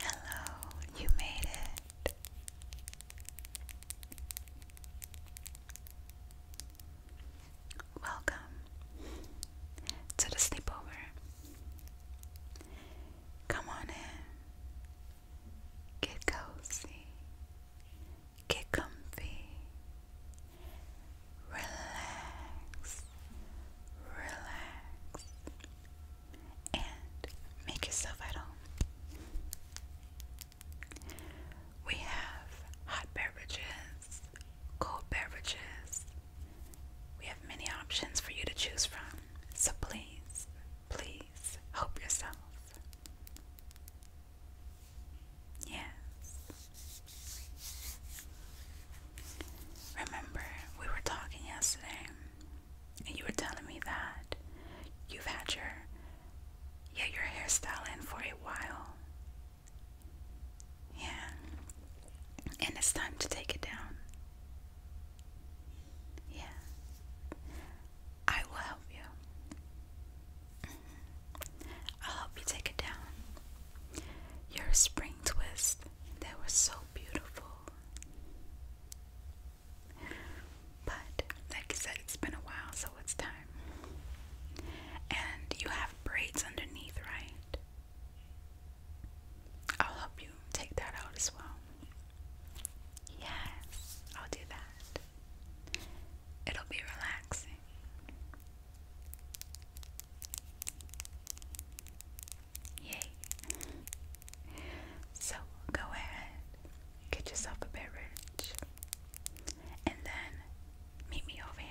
Hello, you made it. Welcome to the sleepover. Come on in, get cozy, Get comfy. Relax. Relax. And make yourself at home. We have hot beverages, cold beverages. We have many options for you to choose from. So please, please help yourself. Yes. Remember, we were talking yesterday, and you were telling me that you've had your yeah, your hairstyle for a while. Yeah. And it's time to take it down. Yeah. I will help you. I'll help you take it down. Your spring twist, they were so beautiful. But like I said, it's been a while, so it's time. And you have braids underneath, right? I'll help you take that out as well. Yes, I'll do that. It'll be relaxing. Yay. so go ahead, get yourself a beverage, and then meet me over here.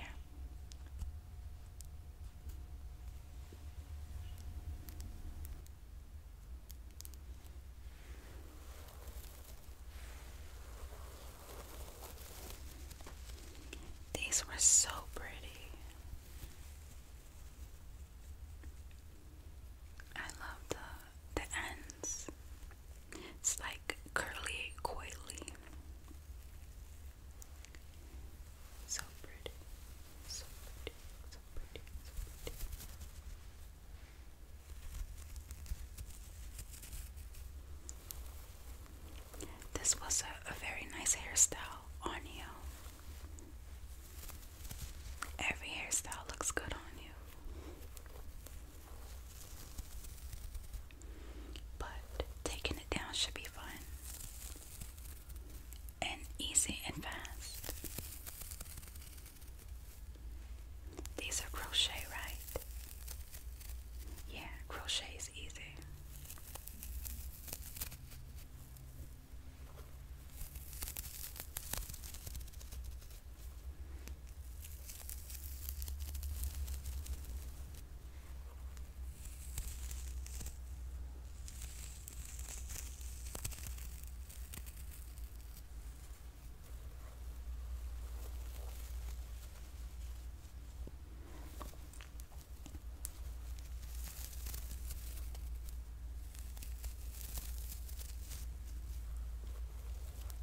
These were so pretty. I love the the ends. It's like curly coily. So pretty. So pretty. So pretty. So pretty. This was a, very nice hairstyle on you. Every hairstyle looks good on you. But taking it down should be fun and easy and fast. These are crochet, right? Yeah, crochet is easy.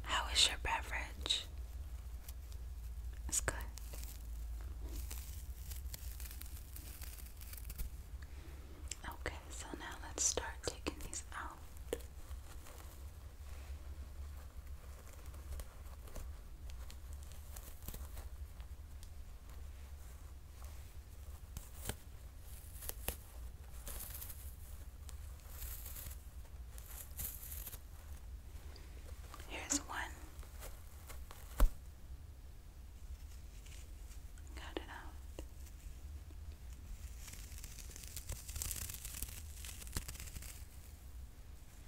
How is your beverage? It's good. Okay, so now let's start taking these out. Here's one. Got it out.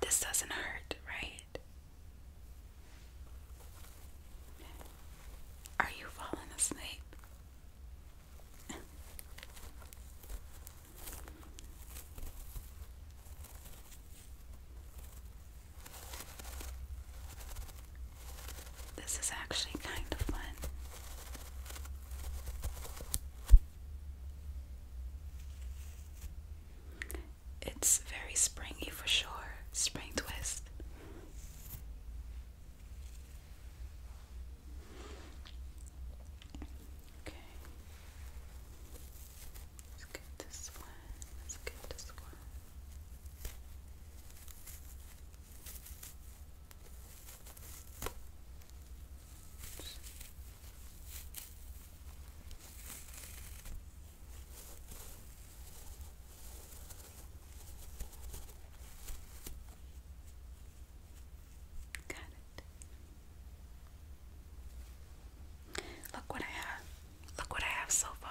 This doesn't hurt, right? Are you falling asleep? This is actually kind of fun. It's very springy for sure. Spring twist. Okay. Let's get this one. Let's get this one. Got it. Look what I have. Look what I have so far.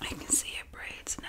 I can see it braids now.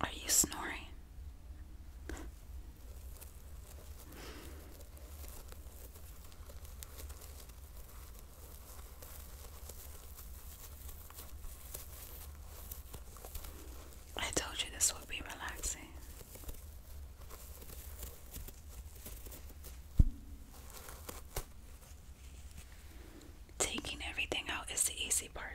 Are you snoring? I told you this would be relaxing. Taking everything out is the easy part.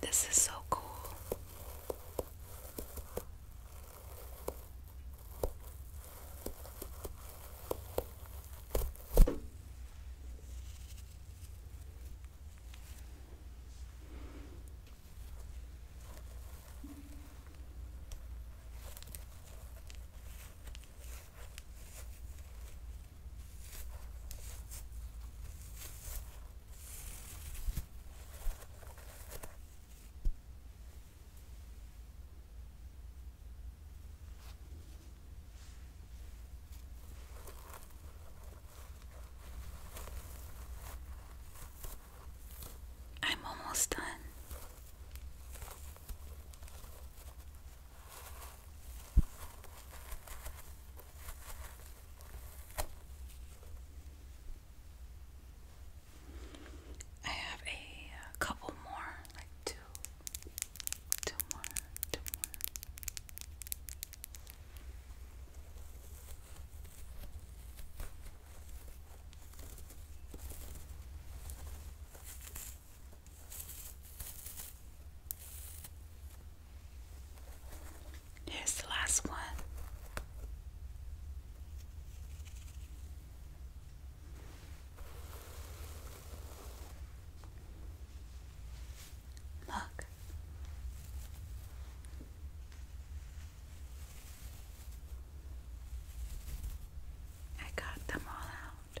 This is so cool. I'm almost done. I have a uh, couple more, like two, two more, two more. Here's the last one. Look. I got them all out.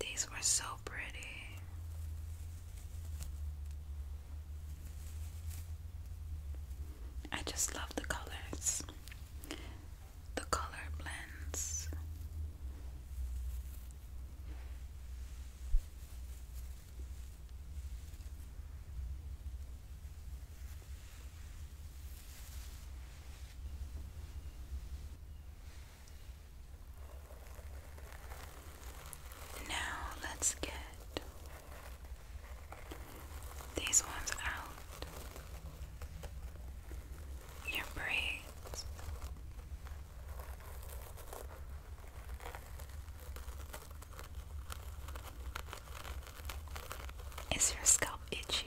These were so pretty. I just love the colors, the color blends. Now let's get these ones out. Your braids. Is your scalp itchy?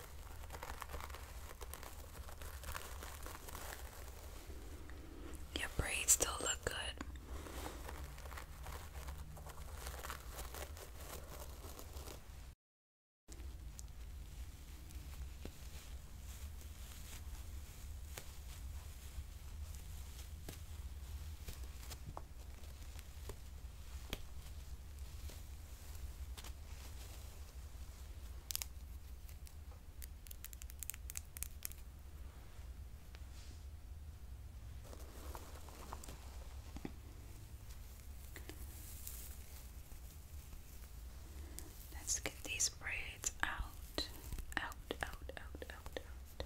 Your braids still look good. Let's get these braids out, out, out, out, out, out.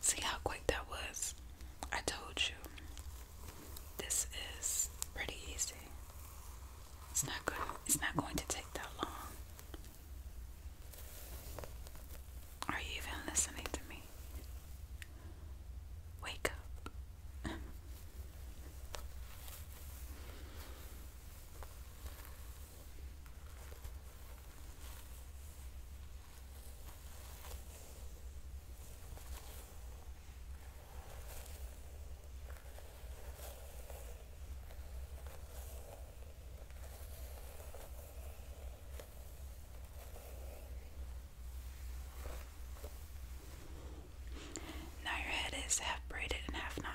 See how quick that was? I told you. This is pretty easy. It's not good. It's not going to take that long. Are you even listening to me? Wake up. Now your head is half braided and half not.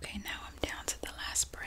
Okay, now I'm down to the last braid.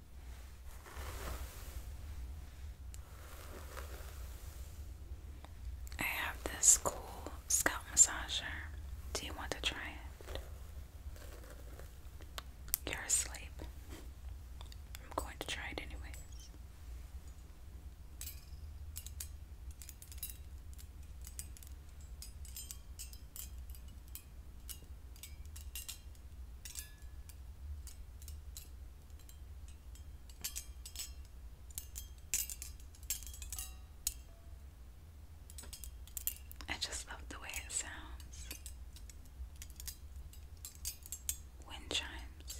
I have this cool scalp massager. Do you want to try it? You're asleep. I'm going to try it anyways. I just love the way it sounds. Wind chimes.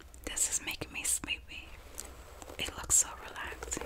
This is making me sleepy. It looks so relaxing.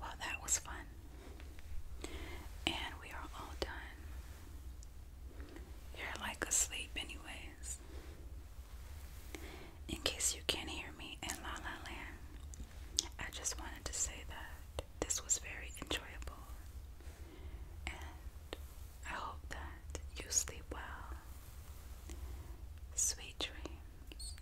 Well, that was fun. And we are all done. You're like asleep, anyways. In case you can't hear me in La La Land, I just wanted to say that this was very enjoyable, and I hope that you sleep well. Sweet dreams.